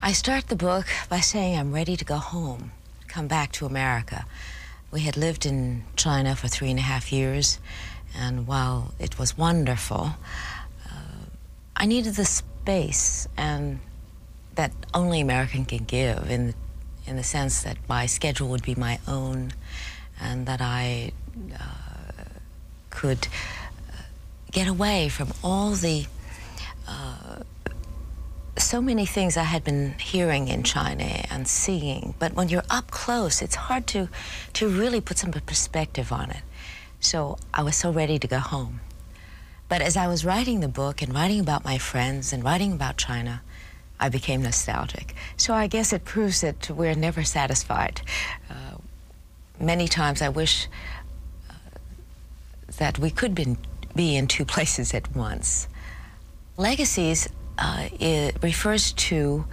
I start the book by saying I'm ready to go home, come back to America. We had lived in China for three and a half years, and while it was wonderful, uh, I needed the space and that only American can give in the, in the sense that my schedule would be my own and that I uh, could uh, get away from all the uh, so many things I had been hearing in China and seeing. But when you're up close, it's hard to to really put some perspective on it. So I was so ready to go home. But as I was writing the book and writing about my friends and writing about China, I became nostalgic. So I guess it proves that we're never satisfied uh, many times I wish uh, that we could been, be in two places at once. Legacies uh, refers to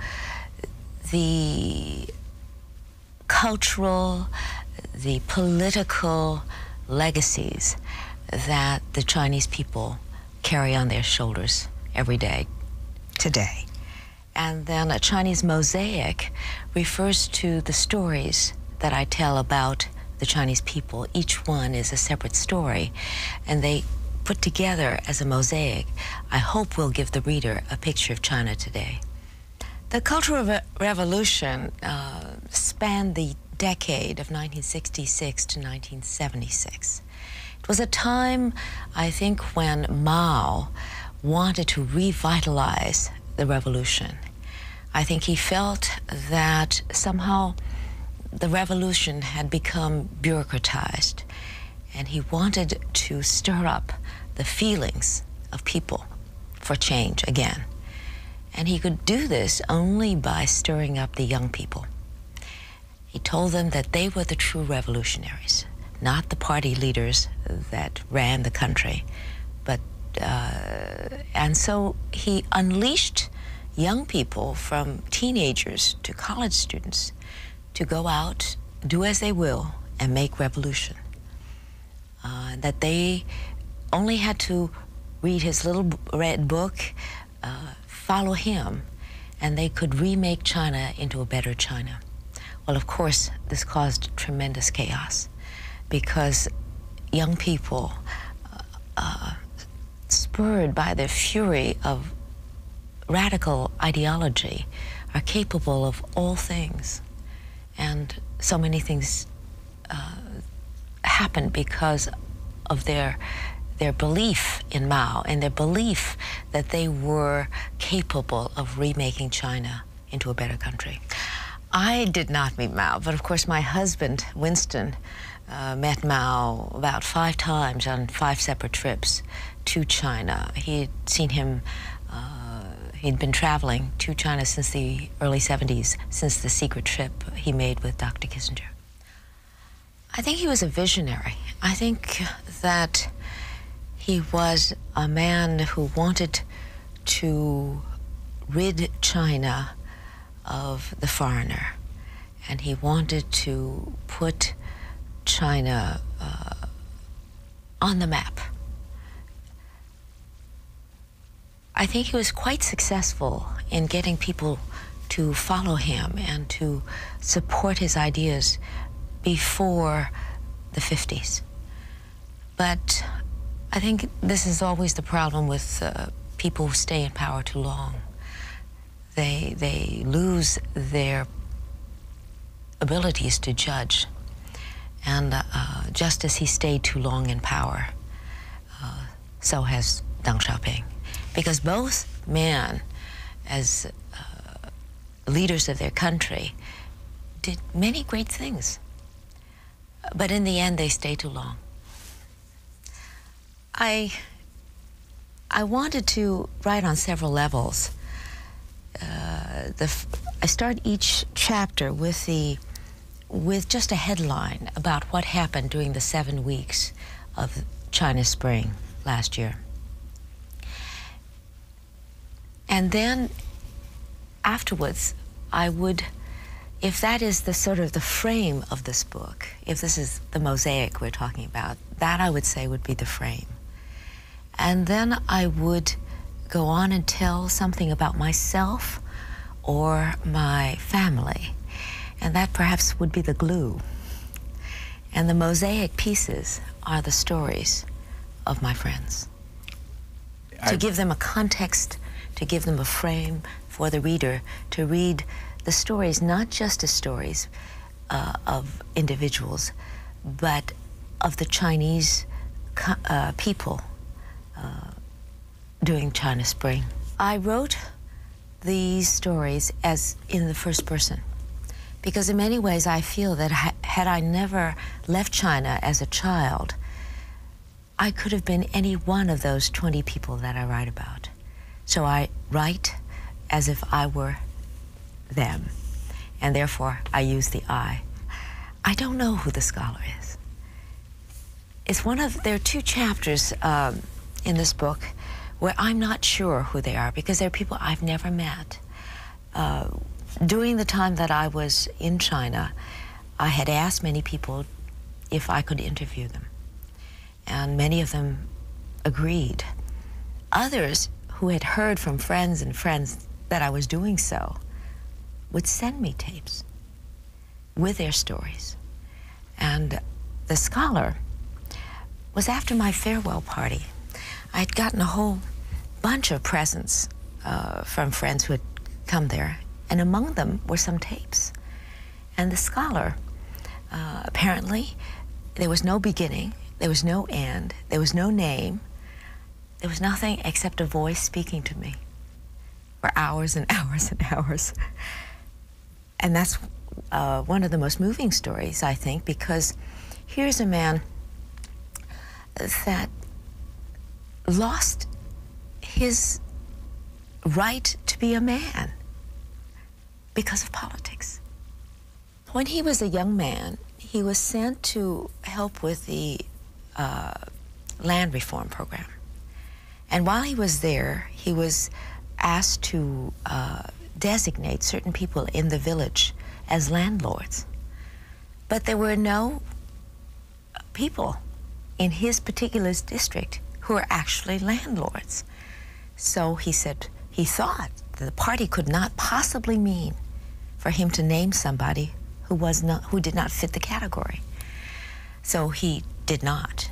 the cultural, the political legacies that the Chinese people carry on their shoulders every day today. And then a Chinese mosaic refers to the stories that I tell about the Chinese people, each one is a separate story, and they put together as a mosaic, I hope will give the reader a picture of China today. The Cultural Re Revolution uh, spanned the decade of 1966 to 1976. It was a time, I think, when Mao wanted to revitalize the revolution I think he felt that somehow the revolution had become bureaucratized, and he wanted to stir up the feelings of people for change again. And he could do this only by stirring up the young people. He told them that they were the true revolutionaries, not the party leaders that ran the country. But, uh, and so he unleashed young people from teenagers to college students to go out, do as they will, and make revolution. Uh, that they only had to read his little red book, uh, follow him, and they could remake China into a better China. Well, of course, this caused tremendous chaos because young people, uh, uh, spurred by the fury of radical ideology, are capable of all things. And so many things uh, happen because of their their belief in Mao and their belief that they were capable of remaking China into a better country. I did not meet Mao, but of course my husband, Winston, uh, met Mao about five times on five separate trips to China. He'd seen him, uh, he'd been traveling to China since the early 70s, since the secret trip he made with Dr. Kissinger. I think he was a visionary. I think that he was a man who wanted to rid China of the foreigner. And he wanted to put China uh, on the map. I think he was quite successful in getting people to follow him and to support his ideas before the 50s. But I think this is always the problem with uh, people who stay in power too long. They, they lose their abilities to judge. And uh, uh, just as he stayed too long in power, so has Deng Xiaoping. Because both men, as leaders of their country, did many great things. But in the end, they stay too long. I, I wanted to write on several levels. Uh, I start each chapter with the with just a headline about what happened during the seven weeks of China's Spring last year. And then afterwards, I would, if that is the sort of the frame of this book, if this is the mosaic we're talking about, that I would say would be the frame. And then I would go on and tell something about myself or my family. And that perhaps would be the glue. And the mosaic pieces are the stories of my friends to give them a context, to give them a frame for the reader to read the stories, not just as stories uh, of individuals, but of the Chinese uh, people uh, doing China Spring. I wrote these stories as in the first person because, in many ways, I feel that had I never left China as a child, I could have been any one of those 20 people that I write about. So I write as if I were them, and therefore I use the I. I don't know who the scholar is. It's one of, there are two chapters um, in this book where I'm not sure who they are because they're people I've never met. Uh, during the time that I was in China, I had asked many people if I could interview them. And many of them agreed. Others who had heard from friends and friends that I was doing so would send me tapes with their stories. And the scholar was after my farewell party. I'd gotten a whole bunch of presents uh, from friends who had come there, and among them were some tapes. And the scholar, uh, apparently, there was no beginning, there was no end, there was no name, there was nothing except a voice speaking to me for hours and hours and hours. And that's uh, one of the most moving stories, I think, because here's a man that lost his right to be a man because of politics. When he was a young man, he was sent to help with the uh, land reform program. And while he was there, he was asked to uh, designate certain people in the village as landlords. But there were no people in his particular district who were actually landlords. So he said he thought the party could not possibly mean for him to name somebody who was not who did not fit the category. So he did not.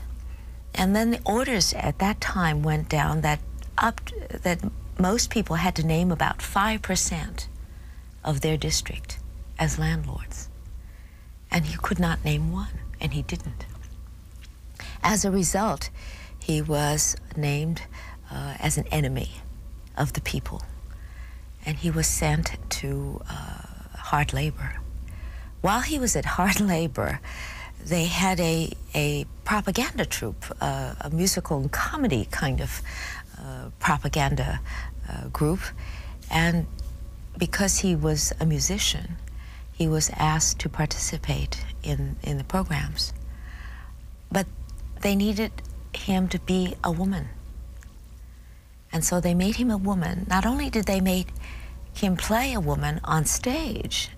And then the orders at that time went down that up that most people had to name about 5% of their district as landlords. And he could not name one, and he didn't. As a result, he was named uh, as an enemy of the people, and he was sent to uh, hard labor. While he was at hard labor, they had a, a propaganda troupe, uh, a musical and comedy kind of uh, propaganda uh, group. And because he was a musician, he was asked to participate in, in the programs. But they needed him to be a woman. And so they made him a woman. Not only did they make him play a woman on stage,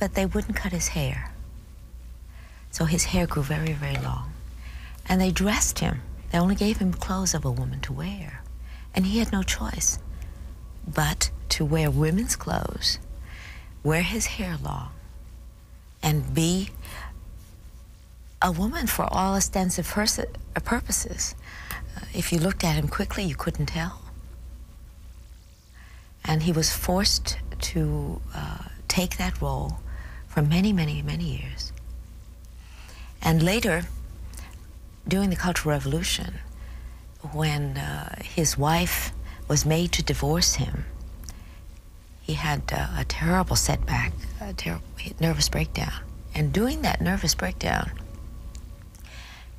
but they wouldn't cut his hair. So his hair grew very, very long. And they dressed him. They only gave him clothes of a woman to wear. And he had no choice but to wear women's clothes, wear his hair long, and be a woman for all ostensive uh, purposes. Uh, if you looked at him quickly, you couldn't tell. And he was forced to uh, take that role for many, many, many years. And later, during the Cultural Revolution, when uh, his wife was made to divorce him, he had uh, a terrible setback, a terrible nervous breakdown. And during that nervous breakdown,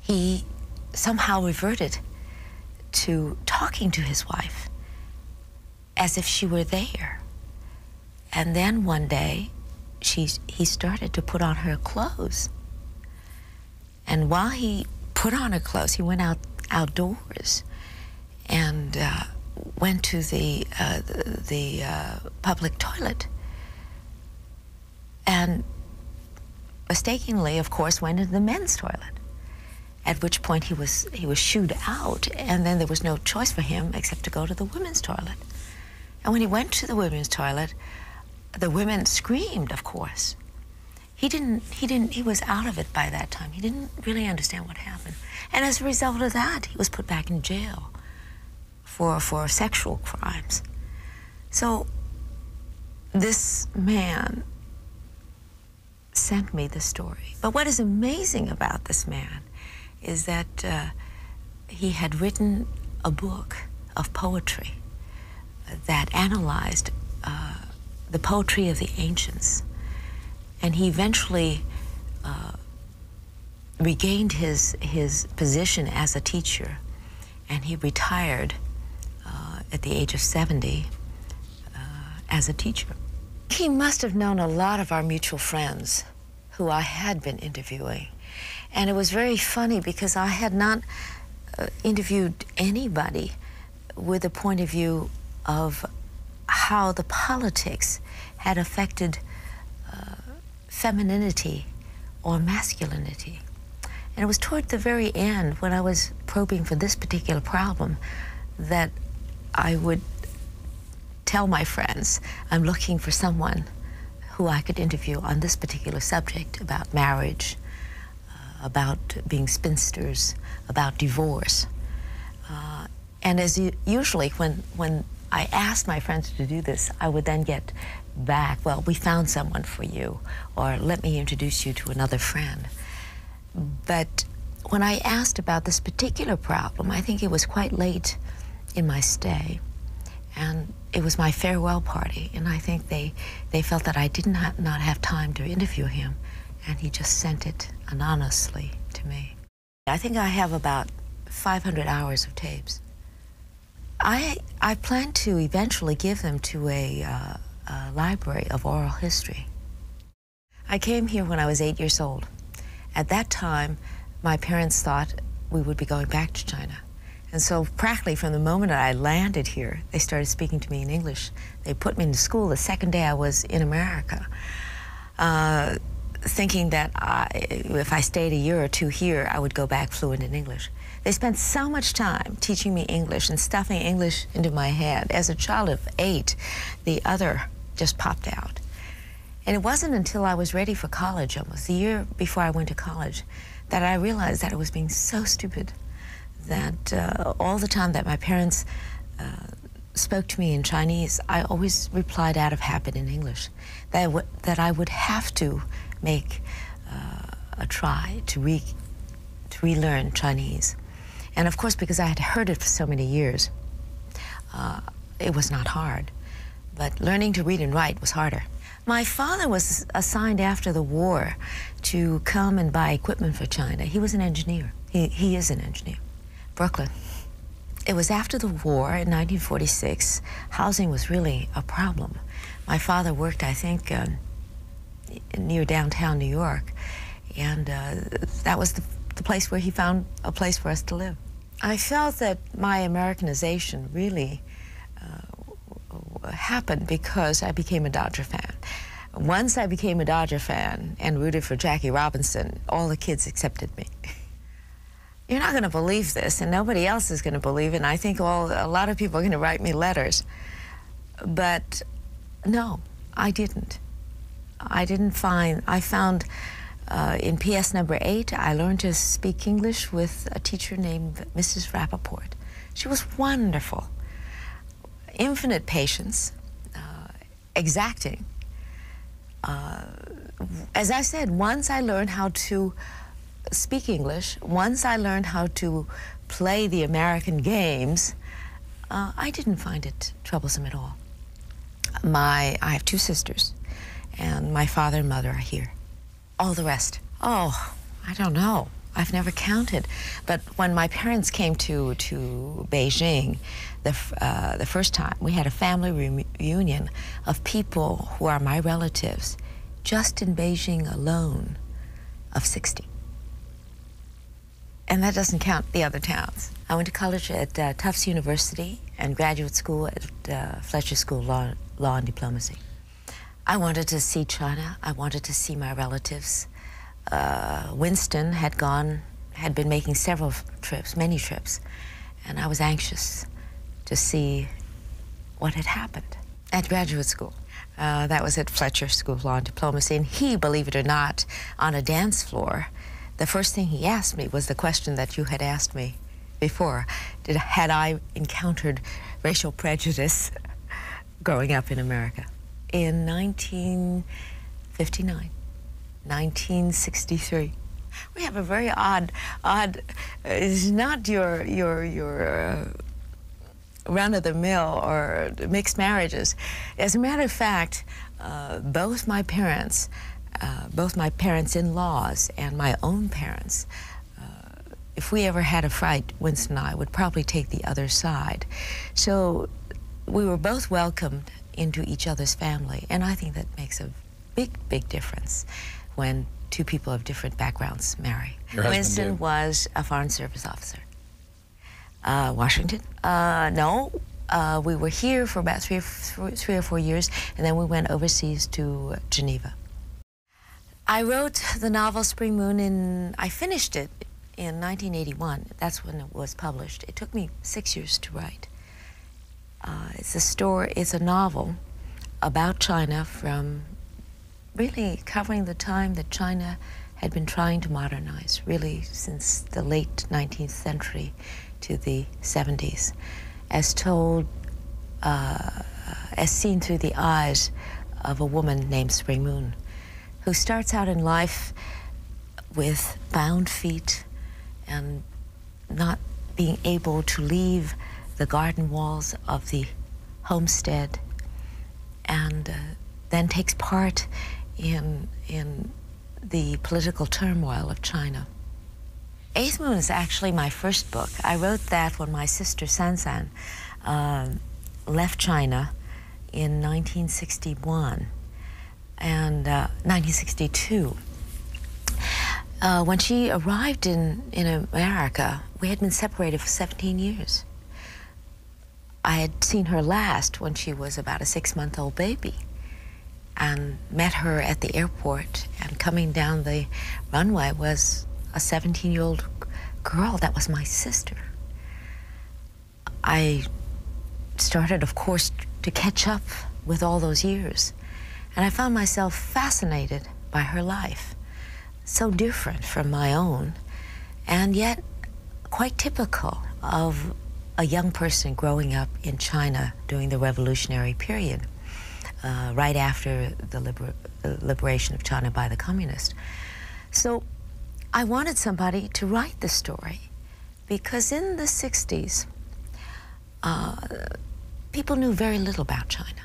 he somehow reverted to talking to his wife as if she were there. And then one day, she, he started to put on her clothes. And while he put on her clothes, he went out outdoors and uh, went to the, uh, the uh, public toilet. And mistakenly, of course, went into the men's toilet at which point he was he was shooed out, and then there was no choice for him except to go to the women's toilet. And when he went to the women's toilet, the women screamed, of course. He didn't he didn't he was out of it by that time. He didn't really understand what happened. And as a result of that, he was put back in jail for for sexual crimes. So this man sent me the story. But what is amazing about this man is that uh, he had written a book of poetry that analyzed uh, the poetry of the ancients. And he eventually uh, regained his, his position as a teacher, and he retired at the age of 70 uh, as a teacher. He must have known a lot of our mutual friends who I had been interviewing. And it was very funny because I had not uh, interviewed anybody with a point of view of how the politics had affected uh, femininity or masculinity. And it was toward the very end when I was probing for this particular problem that I would tell my friends, I'm looking for someone who I could interview on this particular subject about marriage, uh, about being spinsters, about divorce. Uh, and as you, usually when, when I asked my friends to do this, I would then get back, well, we found someone for you, or let me introduce you to another friend. But when I asked about this particular problem, I think it was quite late in my stay, and it was my farewell party, and I think they, they felt that I did not, not have time to interview him, and he just sent it anonymously to me. I think I have about 500 hours of tapes. I, I plan to eventually give them to a, uh, a library of oral history. I came here when I was eight years old. At that time, my parents thought we would be going back to China. And so, practically from the moment I landed here, they started speaking to me in English. They put me in school the second day I was in America, uh, thinking that if I stayed a year or two here, I would go back fluent in English. They spent so much time teaching me English and stuffing English into my head as a child of eight the other just popped out. And it wasn't until I was ready for college, almost a year before I went to college, that I realized that I was being so stupid that uh, all the time that my parents uh, spoke to me in Chinese, I always replied out of habit in English, that, that I would have to make uh, a try to, re- to relearn Chinese. And of course, because I had heard it for so many years, uh, it was not hard. But learning to read and write was harder. My father was assigned after the war to come and buy equipment for China. He was an engineer. He, is an engineer. Brooklyn. It was after the war in 1946. Housing was really a problem. My father worked, I think, um, near downtown New York, and uh, that was the, place where he found a place for us to live. I felt that my Americanization really uh, happened because I became a Dodger fan. Once I became a Dodger fan and rooted for Jackie Robinson, all the kids accepted me. You're not going to believe this, and nobody else is going to believe it. And I think all a lot of people are going to write me letters. But no, I didn't. I didn't find, I found uh, in PS number eight, I learned to speak English with a teacher named Mrs. Rappaport. She was wonderful, infinite patience, uh, exacting. Uh, as I said, once I learned how to speak English, once I learned how to play the American games, I didn't find it troublesome at all. My, I have two sisters, and my father and mother are here. All the rest, oh, I don't know. I've never counted. But when my parents came to, to Beijing the, uh, the first time, we had a family reunion of people who are my relatives, just in Beijing alone, of 60. And that doesn't count the other towns. I went to college at uh, Tufts University and graduate school at uh, Fletcher School Law, Law and Diplomacy. I wanted to see China. I wanted to see my relatives. Uh, Winston had gone, had been making several trips, many trips, and I was anxious to see what had happened at graduate school. that was at Fletcher School of Law and Diplomacy, and he, believe it or not, on a dance floor, the first thing he asked me was the question that you had asked me before. Did, had I encountered racial prejudice growing up in America? In 1959, 1963. We have a very odd, odd, uh, it's not your, your, your, uh, of the mill or mixed marriages. As a matter of fact, uh, both my parents, uh, both my parents in laws and my own parents, uh, if we ever had a fight, Winston and I would probably take the other side. So we were both welcomed into each other's family, and I think that makes a big, big difference when two people of different backgrounds marry. Winston was a Foreign Service officer. Uh, Washington. Uh, no, uh, we were here for about three, three or four years, and then we went overseas to Geneva. I wrote the novel Spring Moon in, I finished it in 1981. That's when it was published. It took me six years to write. Uh, it's a story, it's a novel about China from really covering the time that China had been trying to modernize really since the late 19th century to the 70s, as told, uh, as seen through the eyes of a woman named Spring Moon, who starts out in life with bound feet and not being able to leave the garden walls of the homestead and uh, then takes part in, in the political turmoil of China. Eighth Moon is actually my first book. I wrote that when my sister Sansan um, left China in 1961 and 1962. Uh, uh, when she arrived in, in America, we had been separated for 17 years. I had seen her last when she was about a six month old baby and um, met her at the airport. And coming down the runway was a 17 year old girl that was my sister. I started, of course, to catch up with all those years. And I found myself fascinated by her life, so different from my own, and yet quite typical of a young person growing up in China during the revolutionary period, uh, right after the uh, liberation of China by the communists. So I wanted somebody to write the story because in the 60s, uh, people knew very little about China.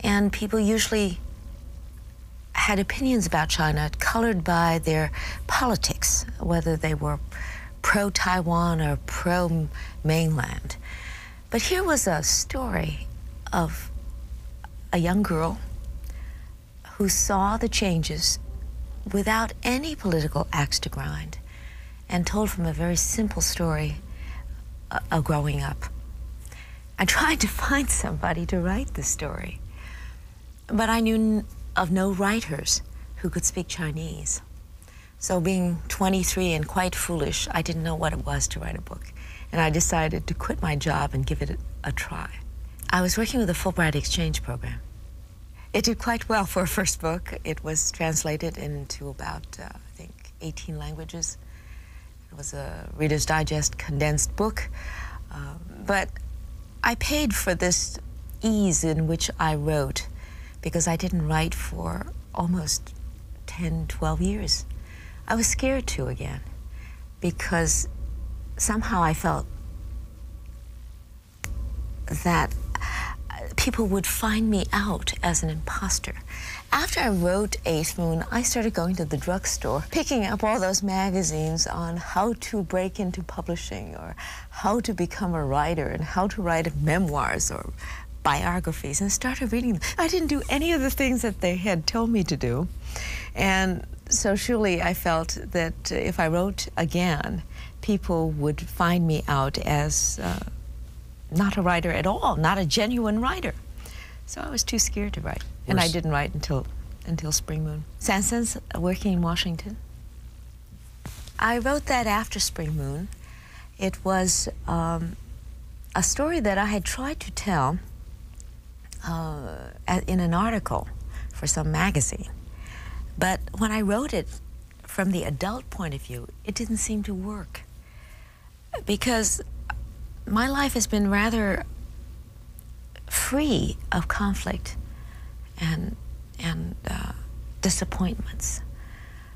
And people usually had opinions about China colored by their politics, whether they were pro Taiwan or pro mainland. But here was a story of a young girl who saw the changes without any political axe to grind and told from a very simple story uh, of growing up. I tried to find somebody to write the story. But I knew of no writers who could speak Chinese. So, being 23 and quite foolish, I didn't know what it was to write a book. And I decided to quit my job and give it a try. I was working with the Fulbright Exchange Program. It did quite well for a first book. It was translated into about, uh, I think, 18 languages. It was a Reader's Digest condensed book. Uh, but I paid for this ease in which I wrote because I didn't write for almost 10, 12 years. I was scared to again because somehow I felt that people would find me out as an imposter. After I wrote Eighth Moon, I started going to the drugstore, picking up all those magazines on how to break into publishing or how to become a writer and how to write memoirs or biographies and started reading them. I didn't do any of the things that they had told me to do. And so surely I felt that if I wrote again, people would find me out as uh, not a writer at all, not a genuine writer. So I was too scared to write. and I didn't write until, until Spring Moon. Sanson's working in Washington. I wrote that after Spring Moon. It was um, a story that I had tried to tell uh, in an article for some magazine. But when I wrote it from the adult point of view, it didn't seem to work because my life has been rather free of conflict and, and uh, disappointments.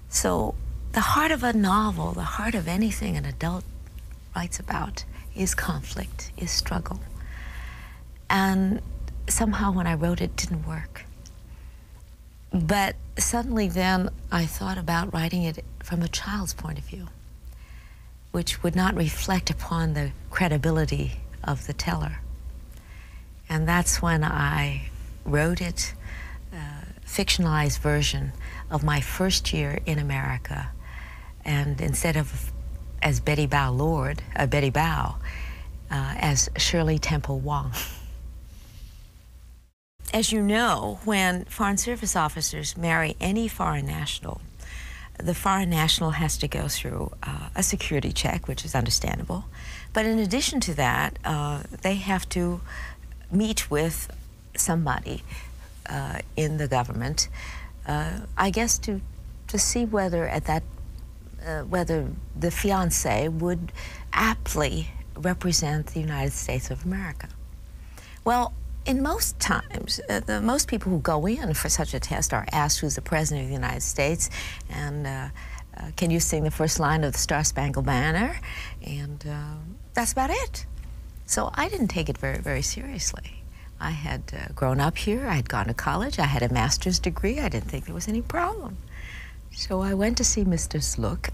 So, the heart of a novel, the heart of anything an adult writes about, is conflict, is struggle. And somehow when I wrote it didn't work. But suddenly then I thought about writing it from a child's point of view which would not reflect upon the credibility of the teller. And that's when I wrote it, uh, fictionalized version of my first year in America. And instead of as Betty Bow Lord, uh, Betty Bow, uh, as Shirley Temple Wong. As you know, when Foreign Service officers marry any foreign national, the foreign national has to go through uh, a security check, which is understandable. But in addition to that, uh, they have to meet with somebody uh, in the government, I guess, to to see whether at that whether the fiance would aptly represent the United States of America. Well, in most times, uh, most people who go in for such a test are asked who's the president of the United States, and uh, uh, can you sing the first line of the Star Spangled Banner, and that's about it. So I didn't take it very, very seriously. I had grown up here, I had gone to college, I had a master's degree, I didn't think there was any problem. So I went to see Mr. Slook,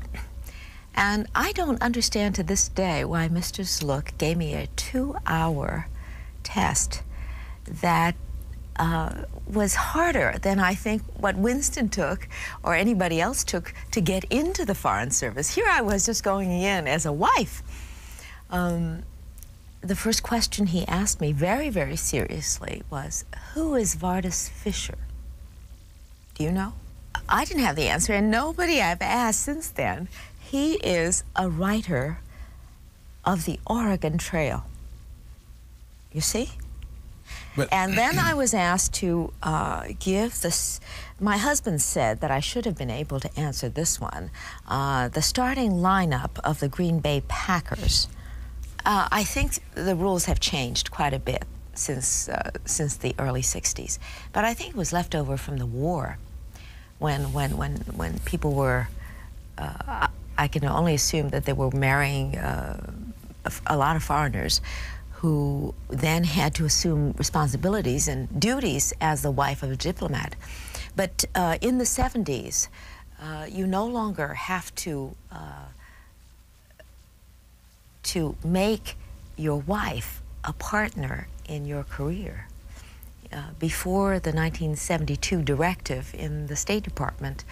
and I don't understand to this day why Mr. Slook gave me a two-hour test that uh, was harder than I think what Winston took or anybody else took to get into the Foreign Service. Here I was just going in as a wife. Um, the first question he asked me very, very seriously was, who is Vardis Fisher? Do you know? I didn't have the answer, and nobody I've asked since then. He is a writer of the Oregon Trail. You see? and then I was asked to uh, give this. My husband said that I should have been able to answer this one. Uh, the starting lineup of the Green Bay Packers. Uh, I think the rules have changed quite a bit since since the early '60s, but I think it was left over from the war when when when when people were, uh, I can only assume that they were marrying uh, a, lot of foreigners, who then had to assume responsibilities and duties as the wife of a diplomat. But uh, in the 70s, you no longer have to to make your wife a partner in your career. Uh, before the 1972 directive in the State Department,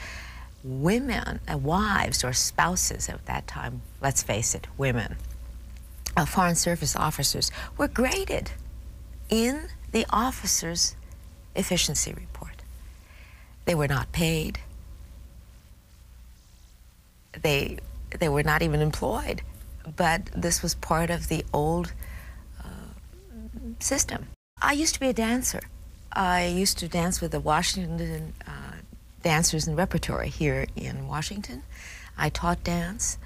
women, uh, wives or spouses at that time, let's face it, women, uh, Foreign Service officers were graded in the officer's efficiency report. They were not paid. They, they were not even employed. But this was part of the old uh, system. I used to be a dancer. I used to dance with the Washington uh, dancers in repertory here in Washington. I taught dance.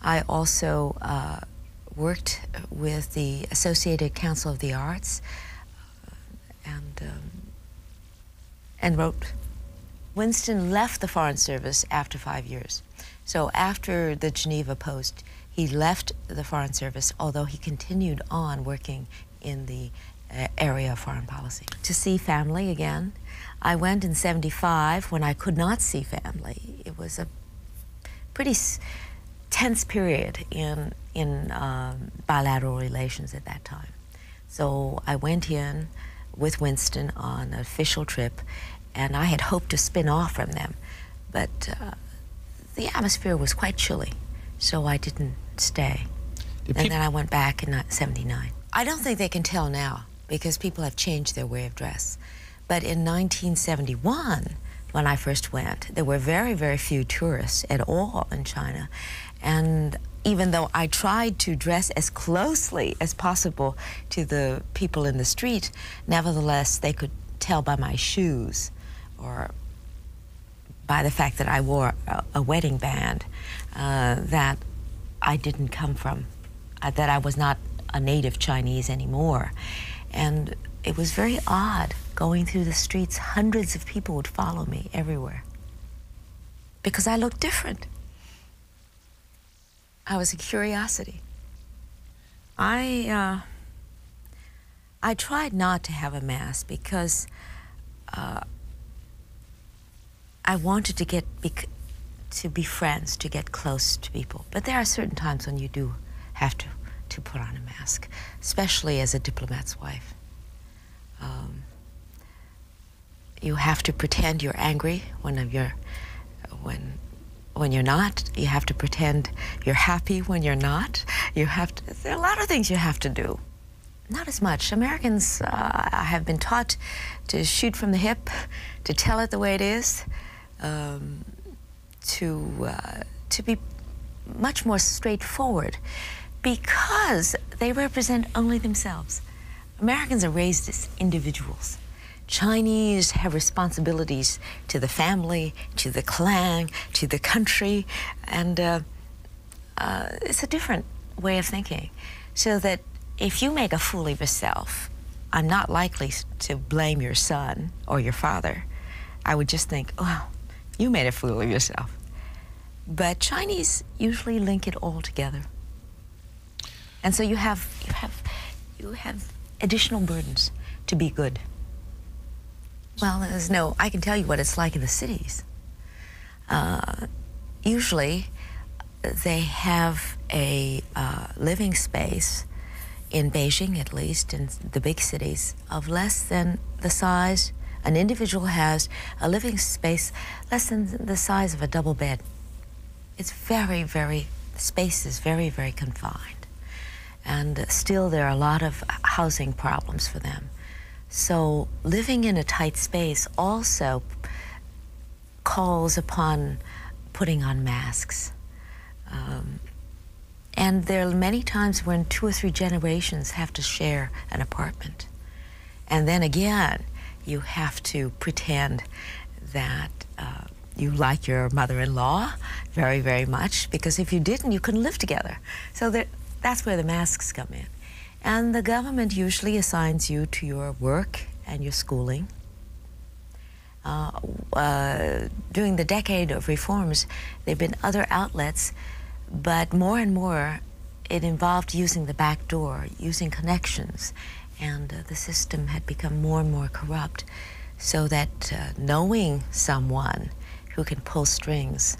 I also uh, worked with the Associated Council of the Arts and, um, and wrote. Winston left the Foreign Service after five years. So after the Geneva post, he left the Foreign Service, although he continued on working in the uh, area of foreign policy. To see family again, I went in 75 when I could not see family. It was a pretty tense period in, in um, bilateral relations at that time. So I went in with Winston on an official trip and I had hoped to spin off from them, but uh, the atmosphere was quite chilly, so I didn't stay. and then I went back in uh, 79. I don't think they can tell now because people have changed their way of dress. But in 1971, when I first went, there were very, very few tourists at all in China. And even though I tried to dress as closely as possible to the people in the street, nevertheless, they could tell by my shoes or by the fact that I wore a, wedding band uh, that I didn't come from, uh, that I was not a native Chinese anymore. And it was very odd going through the streets. Hundreds of people would follow me everywhere because I looked different. I was a curiosity. I, uh, I tried not to have a mask because uh, I wanted to get to be friends, to get close to people. But there are certain times when you do have to, to put on a mask, especially as a diplomat's wife. Um, you have to pretend you're angry when you're, when when you're not. You have to pretend you're happy when you're not. You have to, there are a lot of things you have to do. Not as much. Americans uh, have been taught to shoot from the hip, to tell it the way it is, um, to, uh, to be much more straightforward because they represent only themselves. Americans are raised as individuals. Chinese have responsibilities to the family, to the clan, to the country, and uh, uh, it's a different way of thinking. So that if you make a fool of yourself, I'm not likely to blame your son or your father. I would just think, oh, you made a fool of yourself. But Chinese usually link it all together. And so you have, you have, you have additional burdens to be good. Well, there's no, I can tell you what it's like in the cities. Uh, usually they have a uh, living space in Beijing, at least, in the big cities, of less than the size an individual has a living space less than the size of a double bed. It's very, very, space is very, very confined. And still there are a lot of housing problems for them. So living in a tight space also calls upon putting on masks. Um, and there are many times when two or three generations have to share an apartment. And then again, you have to pretend that uh, you like your mother-in-law very, very much because if you didn't, you couldn't live together. So that's where the masks come in. And the government usually assigns you to your work and your schooling. Uh, uh, during the decade of reforms, there have been other outlets, but more and more it involved using the back door, using connections, and uh, the system had become more and more corrupt so that uh, knowing someone who can pull strings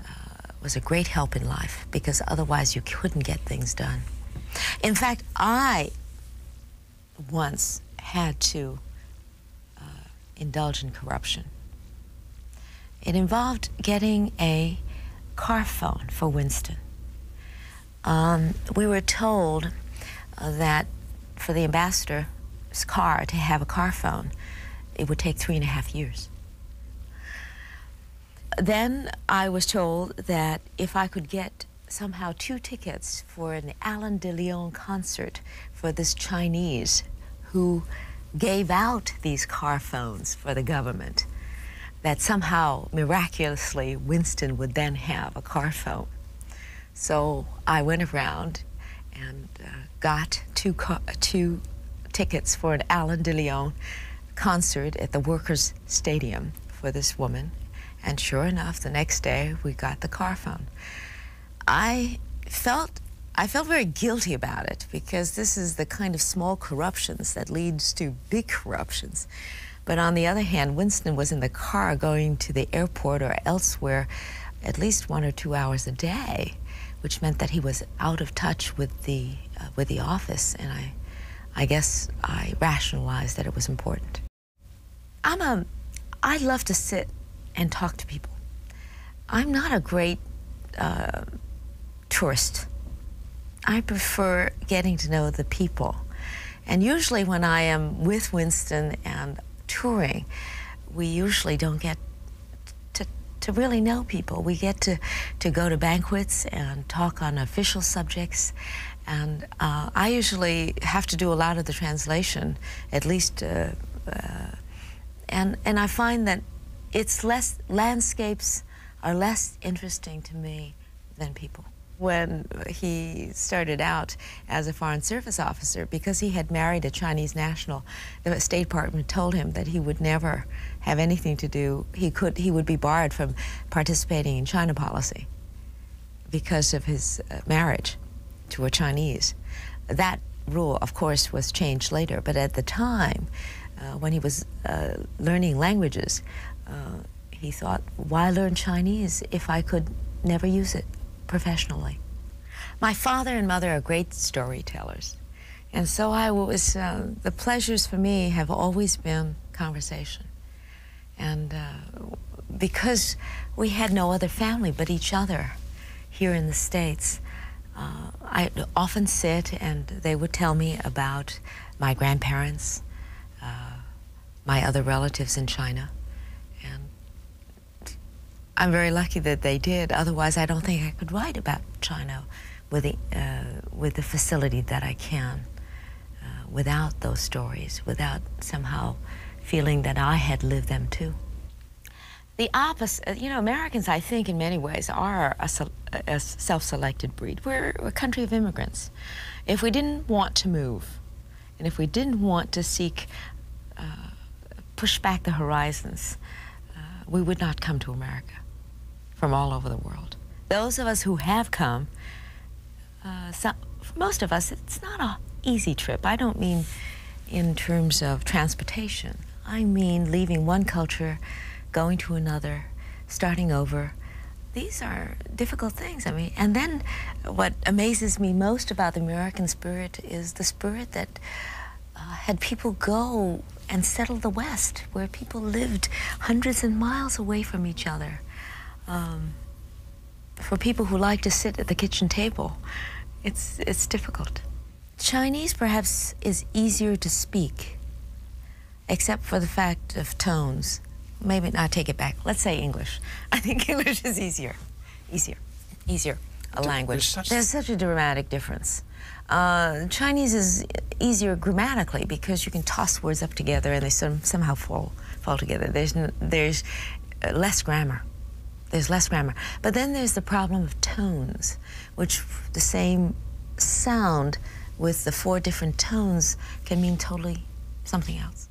uh, was a great help in life because otherwise you couldn't get things done. In fact, I once had to indulge in corruption. It involved getting a car phone for Winston. Um, we were told uh, that for the ambassador's car to have a car phone, it would take three and a half years. Then I was told that if I could get somehow two tickets for an Alan de Leon concert for this Chinese who gave out these car phones for the government, that somehow miraculously Winston would then have a car phone. So I went around and uh, got two, two tickets for an Alan de Leon concert at the Workers' Stadium for this woman. And sure enough, the next day we got the car phone. I felt I felt very guilty about it because this is the kind of small corruptions that leads to big corruptions. But on the other hand, Winston was in the car going to the airport or elsewhere at least one or two hours a day, which meant that he was out of touch with the, uh, with the office. And I, I guess I rationalized that it was important. I'm a, I love to sit and talk to people. I'm not a great uh, tourist. I prefer getting to know the people. And usually when I am with Winston and touring, we usually don't get to, to really know people. We get to, to go to banquets and talk on official subjects. And uh, I usually have to do a lot of the translation, at least. Uh, uh, and, and I find that it's less, landscapes are less interesting to me than people. When he started out as a Foreign Service officer, because he had married a Chinese national, the State Department told him that he would never have anything to do, he, could, he would be barred from participating in China policy because of his uh, marriage to a Chinese. That rule, of course, was changed later, but at the time, uh, when he was uh, learning languages, he thought, why learn Chinese if I could never use it professionally? My father and mother are great storytellers. And so I was, uh, the pleasures for me have always been conversation. And uh, because we had no other family but each other here in the States, uh, I often sit and they would tell me about my grandparents, my other relatives in China. And I'm very lucky that they did. Otherwise, I don't think I could write about China with the, uh, with the facility that I can uh, without those stories, without somehow feeling that I had lived them too. The opposite, uh, you know, Americans, I think, in many ways, are a self selected breed. We're a country of immigrants. If we didn't want to move, and if we didn't want to seek, uh, push back the horizons, uh, we would not come to America from all over the world. Those of us who have come, uh, most of us, it's not an easy trip. I don't mean in terms of transportation. I mean leaving one culture, going to another, starting over, these are difficult things. I mean, and then what amazes me most about the American spirit is the spirit that uh, had people go and settle the West, where people lived hundreds and miles away from each other. Um, for people who like to sit at the kitchen table, it's, it's difficult. Chinese perhaps is easier to speak except for the fact of tones. Maybe I take it back. Let's say English. I think English is easier, easier, easier a language. There's such, a dramatic difference. Uh, Chinese is easier grammatically because you can toss words up together and they somehow fall fall together. There's there's uh, less grammar. There's less grammar. But then there's the problem of tones, which the same sound with the four different tones can mean totally something else?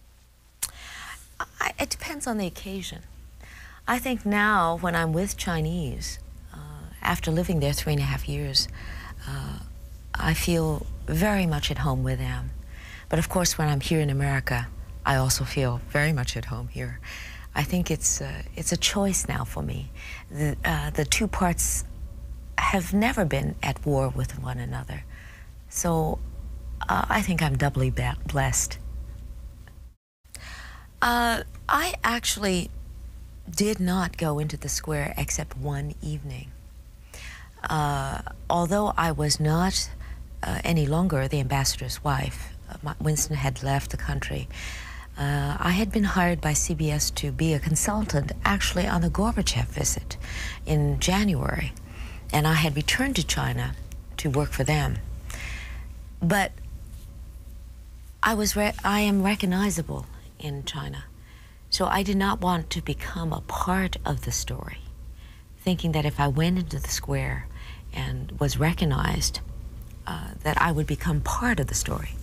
it depends on the occasion. I think now, when I'm with Chinese, uh, after living there three and a half years, uh, I feel very much at home with them. But of course, when I'm here in America, I also feel very much at home here. I think it's uh, it's a choice now for me. The the two parts have never been at war with one another. So uh, I think I'm doubly blessed. Uh, I actually did not go into the square except one evening. Uh, although I was not any longer the ambassador's wife, Winston had left the country. I had been hired by CBS to be a consultant actually on the Gorbachev visit in January, and I had returned to China to work for them. But I was I am recognizable in China, so I did not want to become a part of the story, thinking that if I went into the square and was recognized, uh, that I would become part of the story.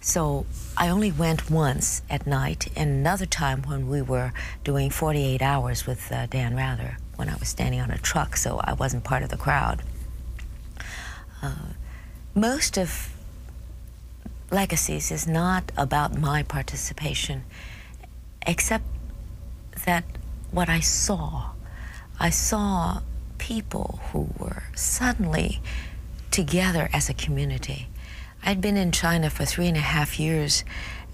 So I only went once at night, and another time when we were doing 48 hours with uh, Dan Rather when I was standing on a truck, so I wasn't part of the crowd. Uh, most of Legacies is not about my participation, except that what I saw, I saw people who were suddenly together as a community. I'd been in China for three and a half years,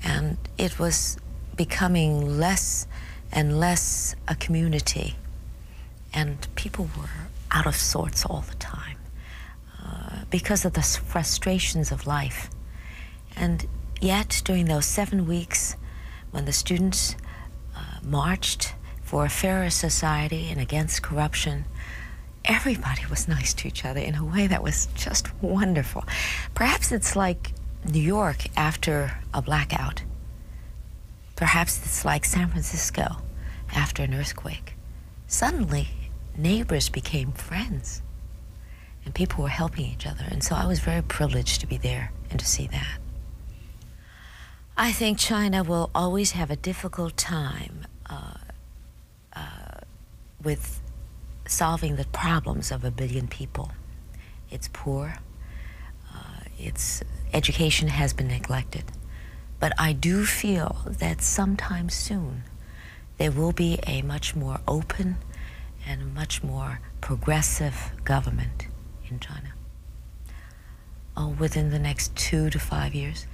and it was becoming less and less a community. And people were out of sorts all the time uh, because of the frustrations of life. And yet, during those seven weeks, when the students uh, marched for a fairer society and against corruption, everybody was nice to each other in a way that was just wonderful. Perhaps it's like New York after a blackout. Perhaps it's like San Francisco after an earthquake. Suddenly, neighbors became friends and people were helping each other. And so I was very privileged to be there and to see that. I think China will always have a difficult time uh, uh, with solving the problems of a billion people. It's poor, uh, its education has been neglected. But I do feel that sometime soon there will be a much more open and much more progressive government in China. Oh, within the next two to five years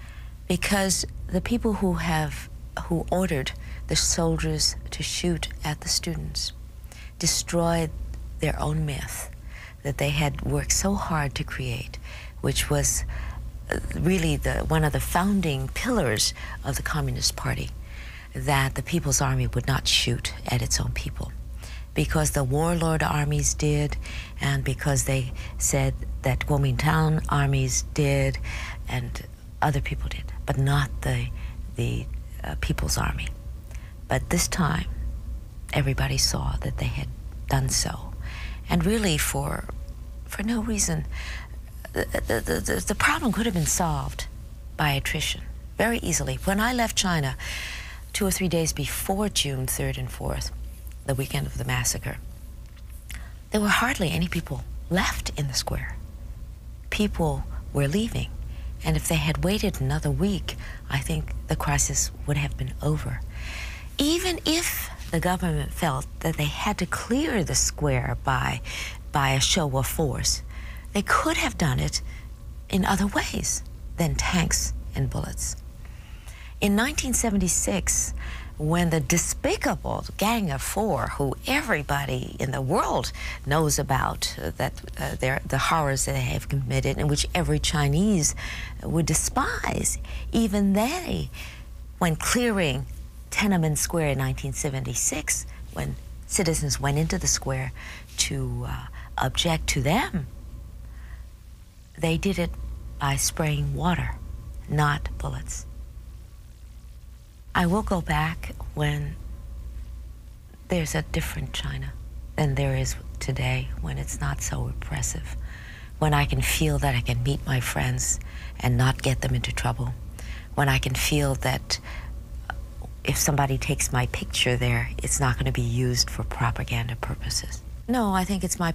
because the people who have who ordered the soldiers to shoot at the students destroyed their own myth that they had worked so hard to create, which was uh, really the, one of the founding pillars of the Communist Party, that the People's Army would not shoot at its own people. Because the warlord armies did, and because they said that Guomindang armies did and other people did, but not the, the uh, People's Army. But this time, everybody saw that they had done so. And really, for, for no reason, the, the, the problem could have been solved by attrition very easily. When I left China, two or three days before June 3rd and 4th, the weekend of the massacre, there were hardly any people left in the square. People were leaving, and if they had waited another week, I think the crisis would have been over. Even if the government felt that they had to clear the square by, by a show of force, they could have done it in other ways than tanks and bullets. In 1976, when the despicable Gang of Four, who everybody in the world knows about, uh, that uh, the horrors that they have committed, and which every Chinese would despise, even they, when clearing Tiananmen Square in 1976, when citizens went into the square to uh, object to them, they did it by spraying water, not bullets. I will go back when there's a different China than there is today, when it's not so oppressive, when I can feel that I can meet my friends and not get them into trouble, when I can feel that if somebody takes my picture there, it's not going to be used for propaganda purposes. No, I think it's my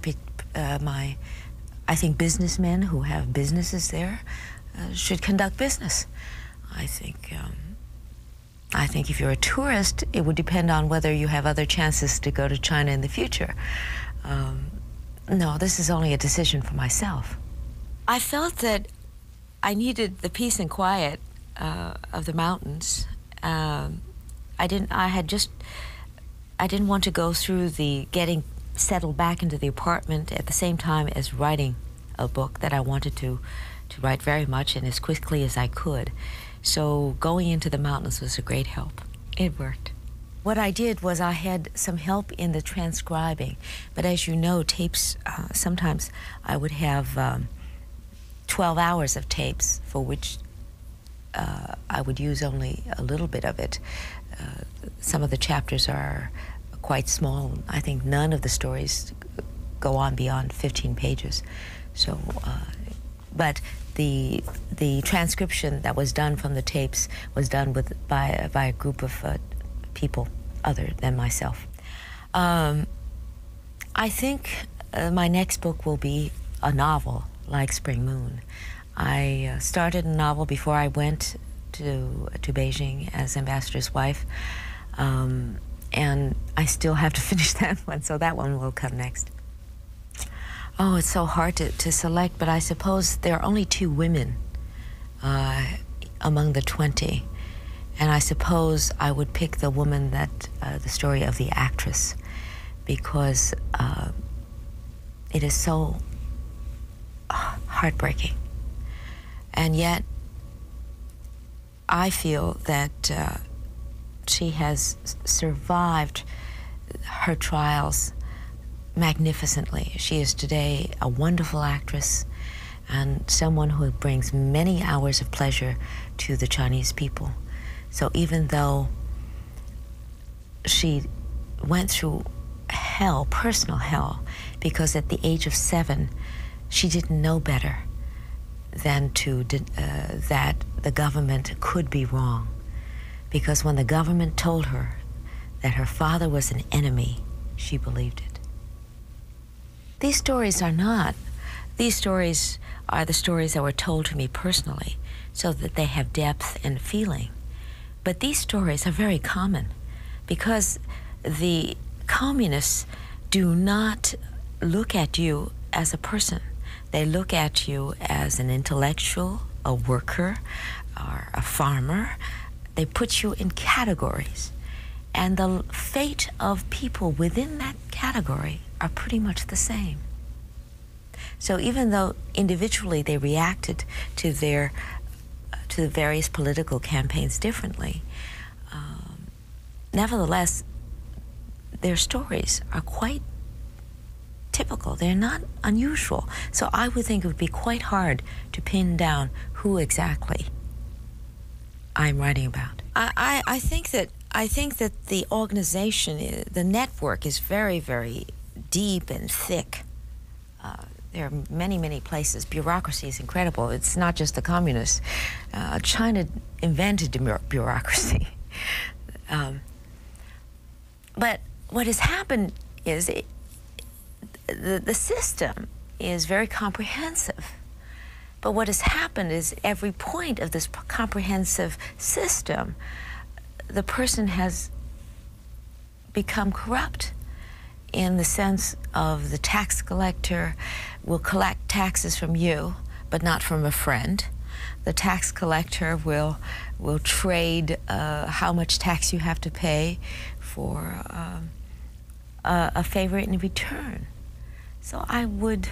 uh, my. I think businessmen who have businesses there uh, should conduct business. I think. Um, I think if you're a tourist, it would depend on whether you have other chances to go to China in the future. Um, no, this is only a decision for myself. I felt that I needed the peace and quiet uh, of the mountains. Um, I didn't. I had just I didn't want to go through the getting settled back into the apartment at the same time as writing a book that I wanted to to write very much and as quickly as I could. So going into the mountains was a great help. It worked. What I did was I had some help in the transcribing, but as you know, tapes uh, sometimes I would have um, 12 hours of tapes for which uh, I would use only a little bit of it. Uh, some of the chapters are quite small. I think none of the stories go on beyond 15 pages. So, uh, but the the transcription that was done from the tapes was done with by by a group of people other than myself. Um, I think my next book will be a novel like Spring Moon. I uh, started a novel before I went to to Beijing as ambassador's wife, um, and I still have to finish that one. So that one will come next. Oh, it's so hard to, to select, but I suppose there are only two women uh, among the twenty, and I suppose I would pick the woman that uh, the story of the actress, because. It is so uh, heartbreaking. And yet, I feel that uh, she has survived her trials magnificently. She is today a wonderful actress and someone who brings many hours of pleasure to the Chinese people. So even though she went through hell, personal hell, because at the age of seven, she didn't know better than to uh, that the government could be wrong. Because when the government told her that her father was an enemy, she believed it. These stories are not. These stories are the stories that were told to me personally so that they have depth and feeling. But these stories are very common because the communists do not look at you as a person. They look at you as an intellectual, a worker, or a farmer. They put you in categories. And the fate of people within that category are pretty much the same. So even though individually they reacted to their uh, to the various political campaigns differently, um, nevertheless, their stories are quite typical. They're not unusual. So I would think it would be quite hard to pin down who exactly I'm writing about. I, I think that I think that the organization, the network, is very very deep and thick. Uh, there are many, many places. Bureaucracy is incredible. It's not just the communists. Uh, China invented bureaucracy. Um, but what has happened is the, the system is very comprehensive. But what has happened is every point of this comprehensive system the person has become corrupt in the sense of the tax collector will collect taxes from you, but not from a friend. The tax collector will will trade uh, how much tax you have to pay for um, a favor in return. So I would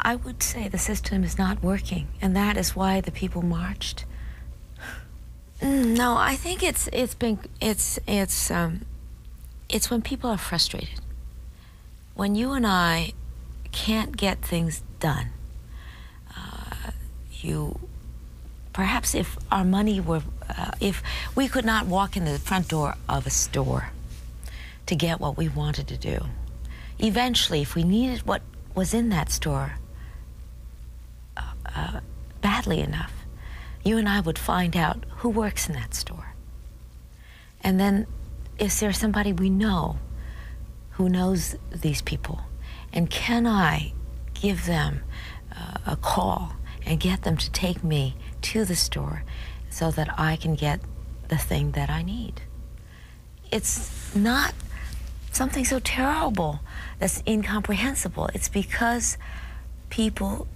I would say the system is not working, and that is why the people marched. Mm, no, I think it's it's been it's it's um, it's when people are frustrated. When you and I can't get things done, uh, you perhaps if our money were uh, if we could not walk in the front door of a store to get what we wanted to do. Eventually, if we needed what was in that store uh, uh, badly enough, you and I would find out who works in that store. And then, is there somebody we know who knows these people? And can I give them uh, a call and get them to take me to the store so that I can get the thing that I need? It's not something so terrible that's incomprehensible. It's because people,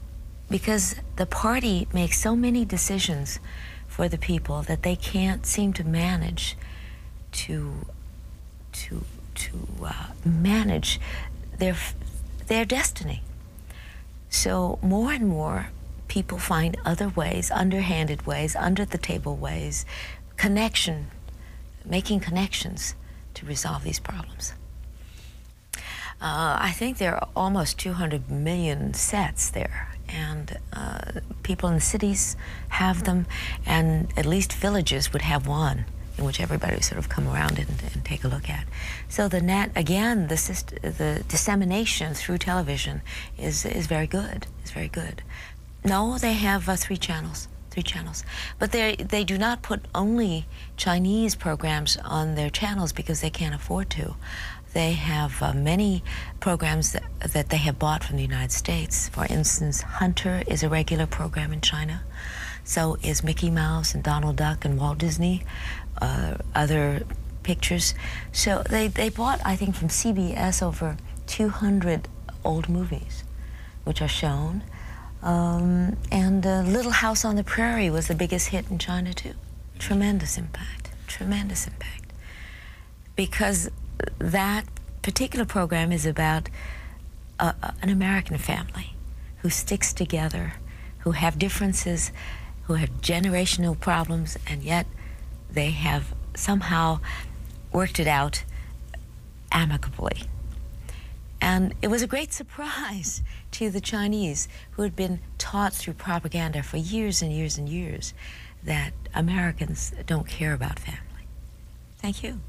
because the party makes so many decisions for the people that they can't seem to manage to to to uh, manage their their destiny. So more and more people find other ways, underhanded ways, under the table ways, connection, making connections to resolve these problems. Uh, I think there are almost 200 million sets there, and uh, people in the cities have them, and at least villages would have one in which everybody would sort of come around and, take a look at. So the net, again, the dissemination through television is, is very good. It's very good. No, they have uh, three channels. Three channels, but they they do not put only Chinese programs on their channels because they can't afford to. They have uh, many programs that, they have bought from the United States. For instance, Hunter is a regular program in China. So is Mickey Mouse and Donald Duck and Walt Disney, uh, other pictures. So they, they bought, I think, from CBS over 200 old movies, which are shown. Um, and uh, Little House on the Prairie was the biggest hit in China, too. Tremendous impact, tremendous impact. Because that particular program is about an American family who sticks together, who have differences, who have generational problems, and yet they have somehow worked it out amicably. And it was a great surprise to the Chinese, who had been taught through propaganda for years and years and years that Americans don't care about family. Thank you.